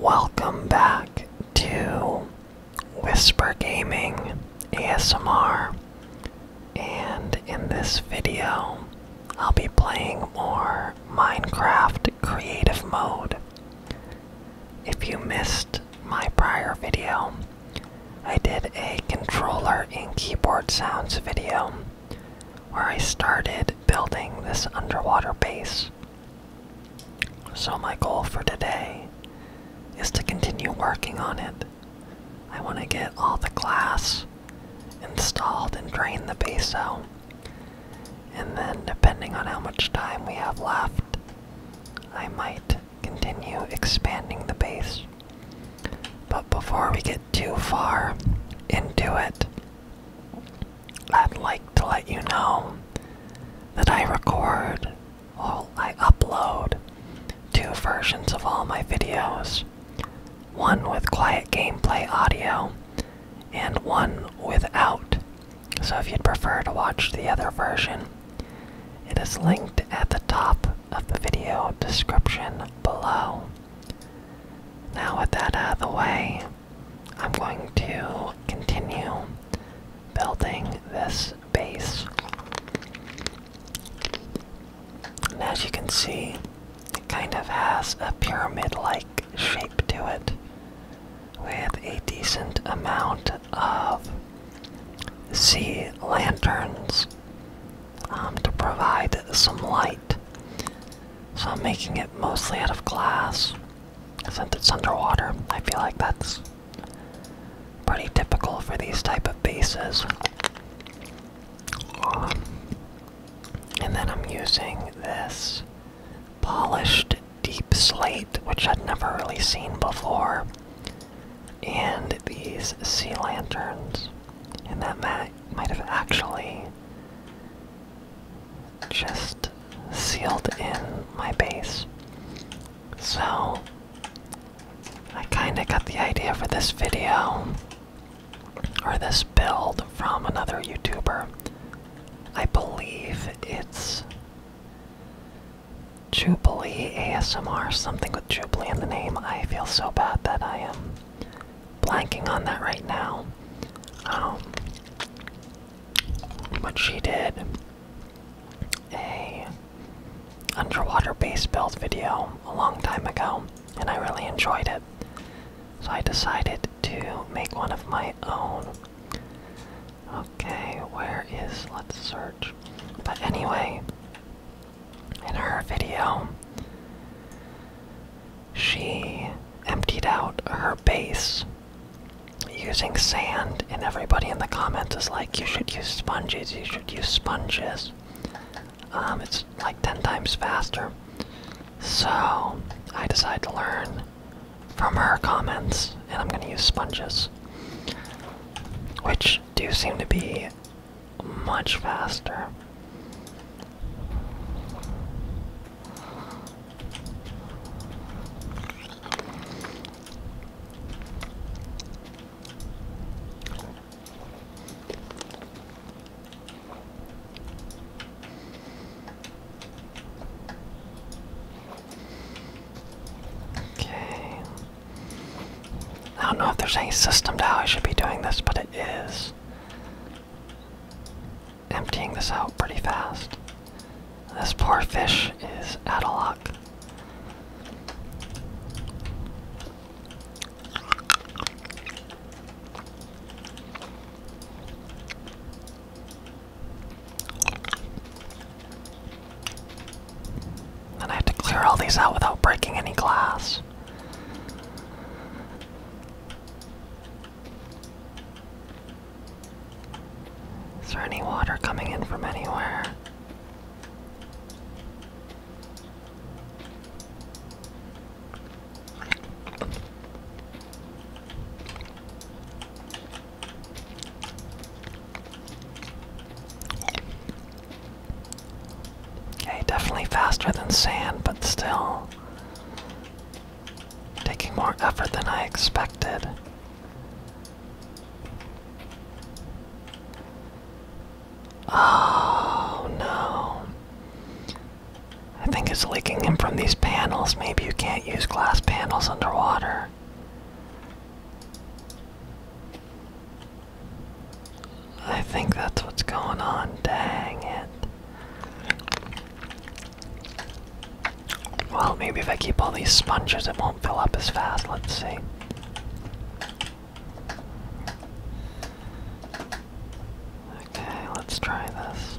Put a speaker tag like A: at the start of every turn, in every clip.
A: Welcome back to Whisper Gaming ASMR, and in this video, I'll be playing more Minecraft Creative Mode. If you missed my prior video, I did a controller and keyboard sounds video where I started building this underwater base. So, my goal for today is to continue working on it. I want to get all the glass installed and drain the base out. And then, depending on how much time we have left, I might continue expanding the base. But before we get too far into it, I'd like to let you know that I record or I upload two versions of all my videos one with quiet gameplay audio and one without. So if you'd prefer to watch the other version, it is linked at the top of the video description below. Now, with that out of the way, I'm going to continue building this base. And as you can see, it kind of has a pyramid like shape to it with a decent amount of sea lanterns um, to provide some light so I'm making it mostly out of glass. Since it's underwater, I feel like that's pretty typical for these type of bases. and then I'm using this polished deep slate, which I'd never really seen before, and these sea lanterns. And that might have actually just sealed in my base. So, I kinda got the idea for this video, or this build, from another YouTuber. I believe it's Jubilee ASMR, something with Jubilee in the name. I feel so bad that I am blanking on that right now. Um, but she did a underwater base build video a long time ago, and I really enjoyed it. So I decided to make one of my own. Okay, where is, let's search. But anyway, in her video, she emptied out her base using sand, and everybody in the comments is like, you should use sponges, you should use sponges. Um, it's like 10 times faster. So, I decided to learn from her comments, and I'm gonna use sponges. Which do seem to be much faster. Okay. I don't know if there's any system to how I should be doing this, but it is emptying this out pretty fast. This poor fish is out of luck. And I have to clear all these out without breaking any glass. Is there any water coming in from anywhere? Okay, definitely faster than sand, but still Taking more effort than I expected. Oh no. I think it's leaking in from these panels. Maybe you can't use glass panels underwater. I think that's what's going on. Dang it. Well, maybe if I keep all these sponges, it won't fill up as fast. Let's see. Okay, let's try this.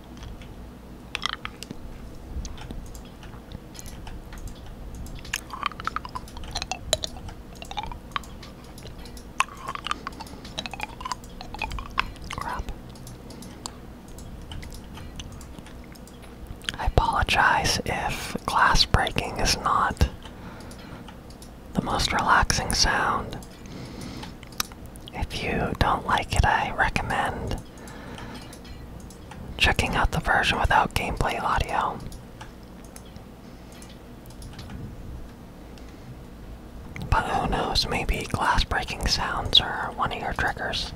A: I apologize if glass breaking is not the most relaxing sound. If you don't like it, I recommend Checking out the version without gameplay audio. But who knows, maybe glass breaking sounds are one of your triggers.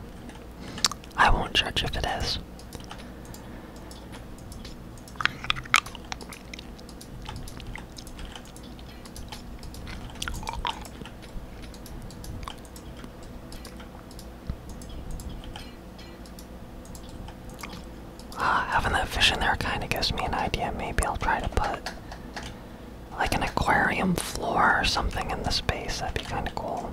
A: I won't judge if it is. Uh, having that fish in there kind of gives me an idea. Maybe I'll try to put like an aquarium floor or something in the space. That'd be kind of cool.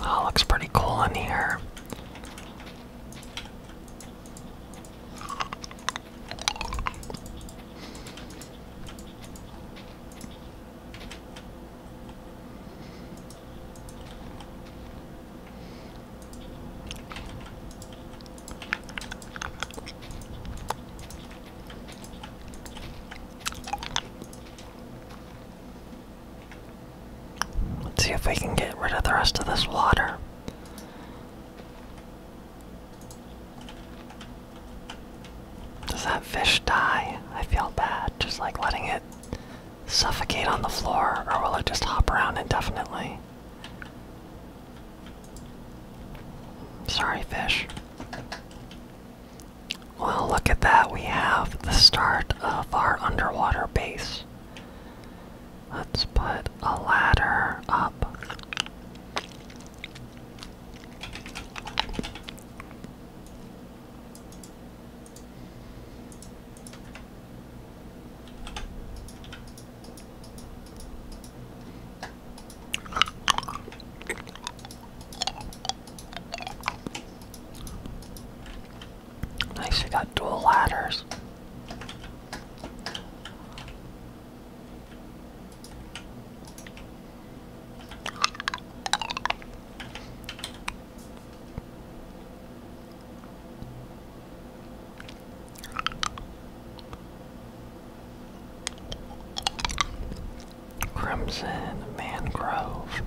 A: That oh, looks pretty cool in here. Let's see if we can get rid of the rest of this water. Does that fish die? I feel bad just like letting it suffocate on the floor, or will it just hop around indefinitely? Sorry, fish. Well, look at that. We have the start of our underwater base. Let's put a ladder up. Nice, you got dual ladders. Crimson mangrove.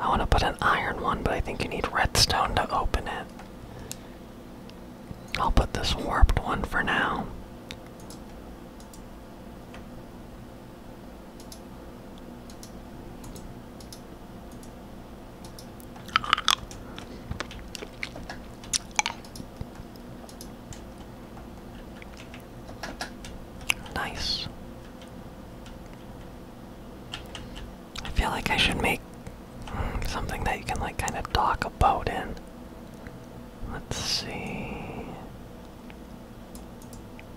A: I want to put an iron one, but I think you need redstone to open it. I'll put this warped one for now. Nice. I feel like I should make hmm, something that you can like kind of talk about in. Let's see.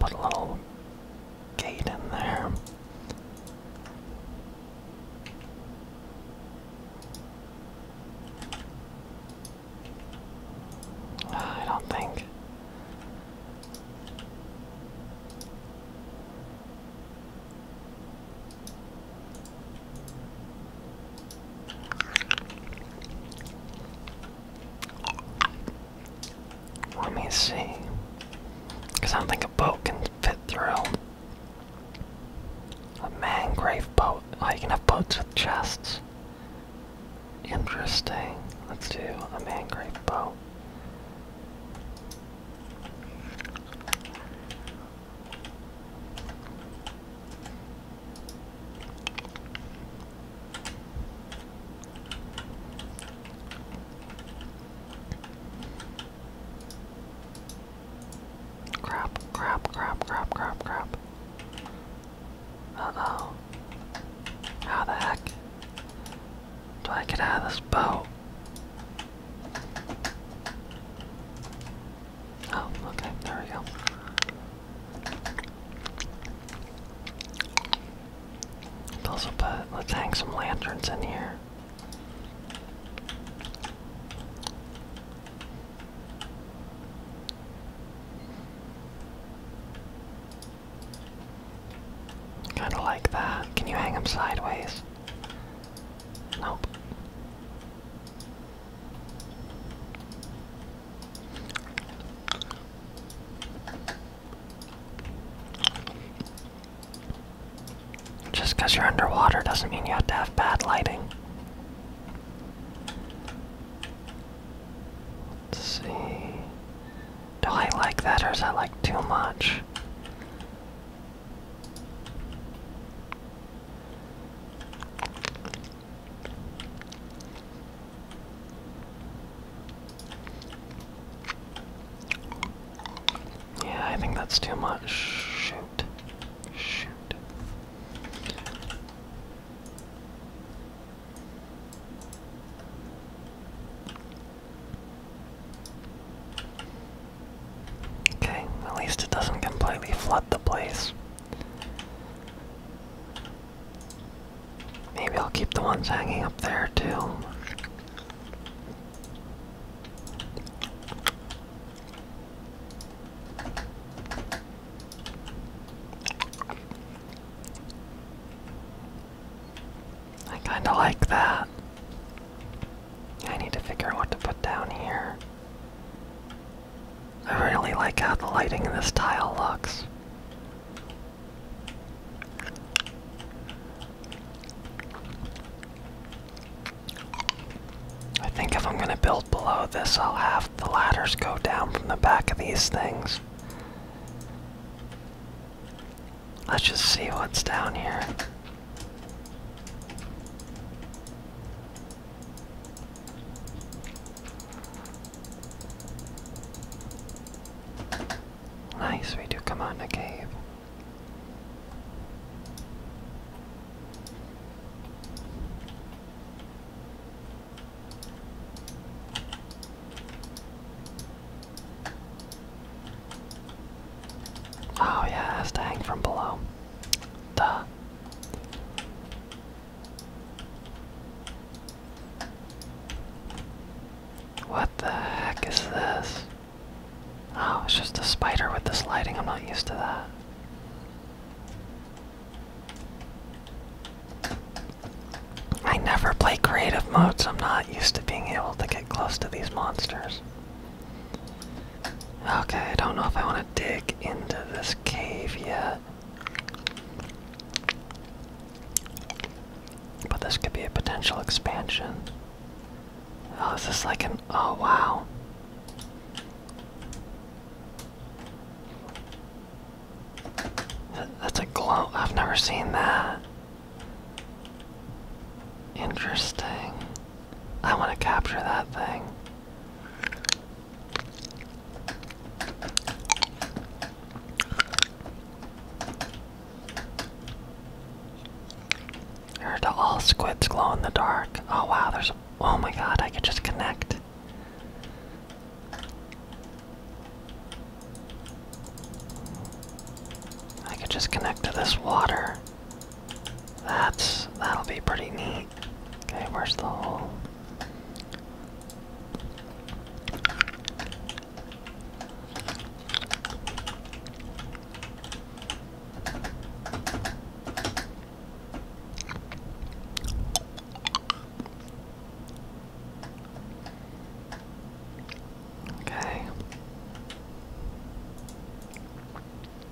A: Put a little gate in there. I don't think. Let me see. Because I don't think a boat can fit through. A man grave boat. Oh, you can have boats with chests. Interesting. Let's do a man grave boat. Crap, crap, crap, crap, crap, crap. Uh How the heck do I get out of this boat? Oh, okay, there we go. Puzzle let's hang some lanterns in here. Kinda like that. Can you hang them sideways? Nope. Just because you're underwater doesn't mean you have to have bad lighting. Let's see. Do I like that or is that like too much? Yeah, I think that's too much. Shoot. Shoot. Okay, at least it doesn't completely flood the place. Maybe I'll keep the ones hanging up there too. I kinda like that. I need to figure out what to put down here. I really like how the lighting in this tile looks. I think if I'm going to build below this, I'll have the ladders go down from the back of these things. Let's just see what's down here. Nice, we do come on the cave. Oh yeah, it has to hang from below. Duh. What the heck is this? Oh, it's just a spider with this lighting. I'm not used to that. I never play creative modes. I'm not used to being able to get close to these monsters. Okay, I don't know if I want to dig into this cave yet. But this could be a potential expansion. Oh, is this like an. Oh, wow. That's a glow. I've never seen that. Interesting. I want to capture that thing. Here to all squids glow in the dark. Oh wow, there's. Oh my god, I could just connect. I could just connect to this water. That's that'll be pretty neat. Okay, where's the hole? Okay.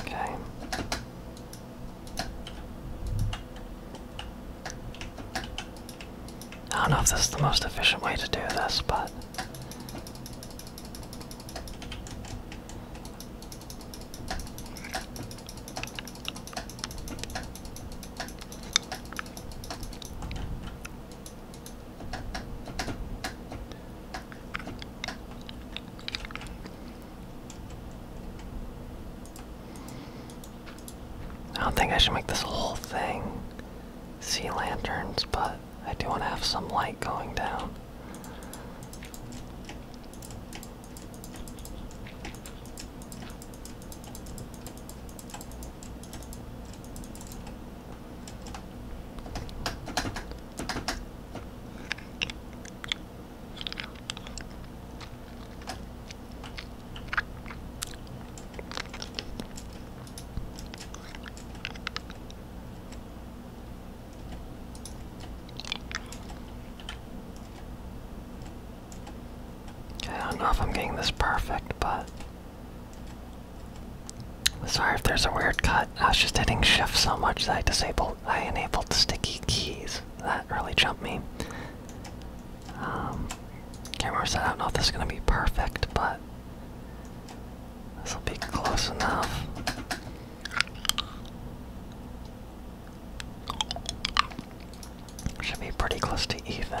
A: Okay. I don't know if this is the most efficient way to do this, but. I don't think I should make this whole thing sea lanterns, but I do want to have some light going down. I don't know if I'm getting this perfect, but Sorry if there's a weird cut. I was just hitting shift so much that I disabled, I enabled sticky keys. That really jumped me. Um, camera set. I don't know if this is gonna be perfect, but this will be close enough. Should be pretty close to even.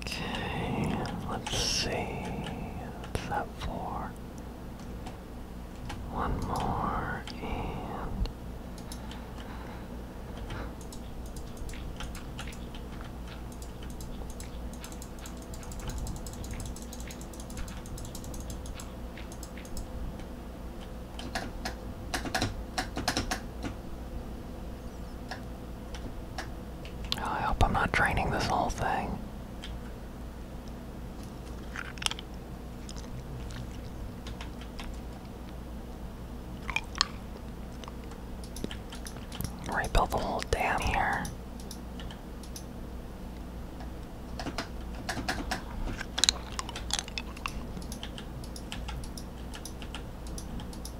A: Okay, let's see. What's that One more and Oh, I hope I'm not draining this whole thing. Rebuild the whole dam here.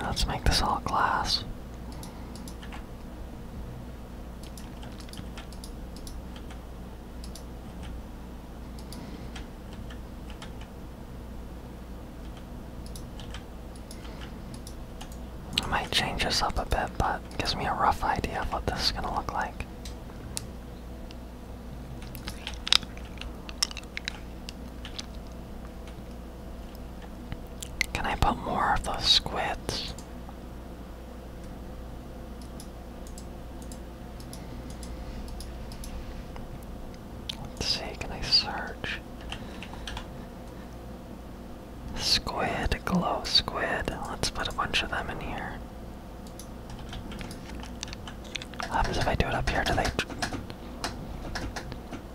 A: Let's make this all glass. I might change this up a bit, but gives me a rough idea of what this is going to look like. Can I put more of those squids? Let's see, can I search? Squid, glow squid. Let's put a bunch of them in here. What happens if I do it up here? Do they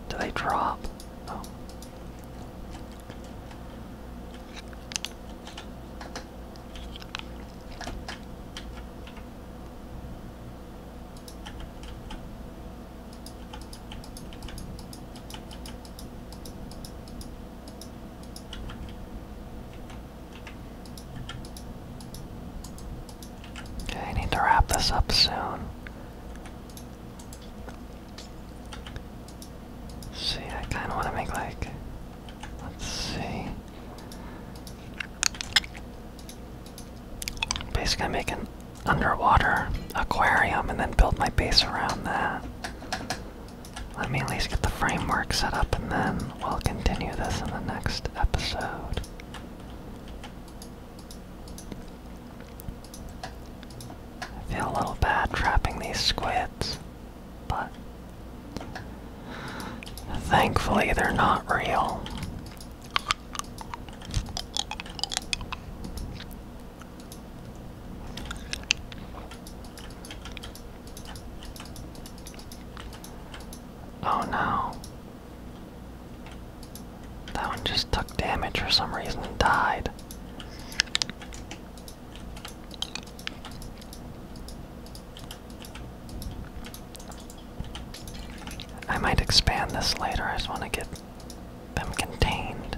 A: do they drop? Oh. Okay, I need to wrap this up soon. See, I kind of want to make like, let's see. Basically, make an underwater aquarium and then build my base around that. Let me at least get the framework set up and then we'll continue this in the next episode. I feel a little bad trapping these squids, but thankfully they're not real. Oh no. That one just took damage for some reason and died. I might expand this later. I just want to get them contained.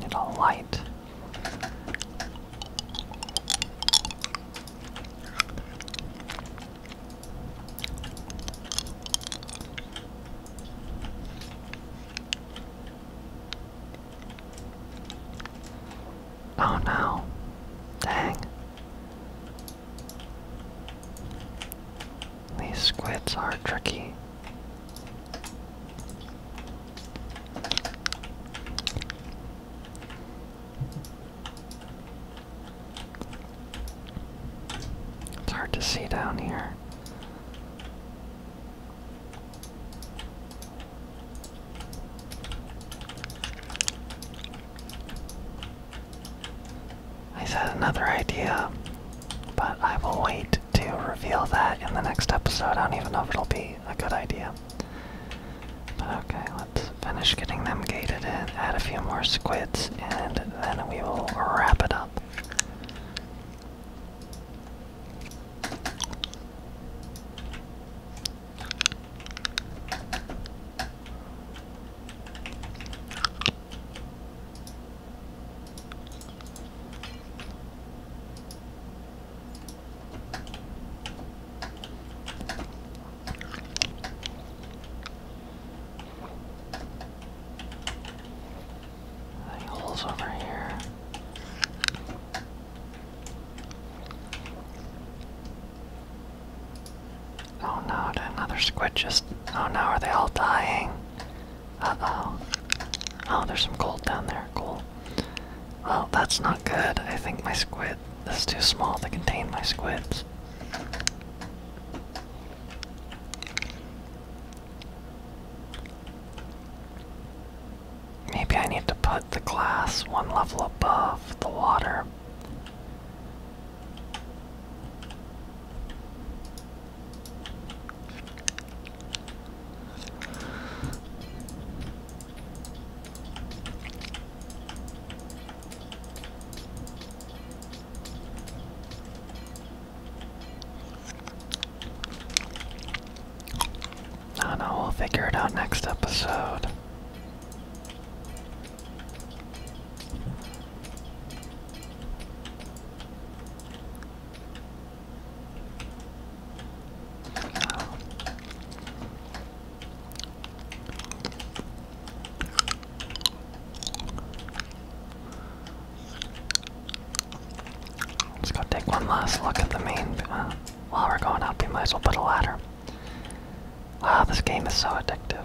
A: Need a light. Oh no. Dang. These squids are tricky. It's hard to see down here. I said another idea, but I will wait to reveal that in the next episode. I don't even know if it'll be a good idea. But okay, let's finish getting them gated in, add a few more squids, and then we will wrap it up holes over here? Oh no, another squid just. Oh no, are they all dying? oh Oh, there's some gold down there. Cool. Oh, that's not good. I think my squid is too small to contain my squids. Maybe I need to put the glass one level above the water. No, no, we'll figure it out next episode. Let's go take one last look at the main. Uh, while we're going up, we might as well put a ladder. Wow, ah, this game is so addictive.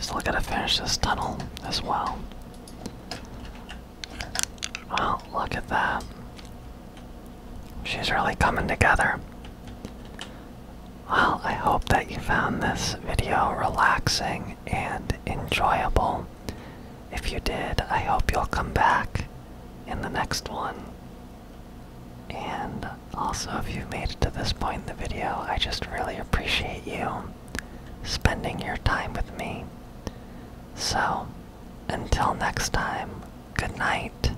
A: Still gotta finish this tunnel as well. Well, look at that. She's really coming together. Well, I hope that you found this video relaxing and enjoyable. If you did, I hope you'll come back in the next one. And also, if you've made it to this point in the video, I just really appreciate you spending your time with me. So, until next time, good night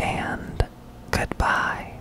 A: and goodbye.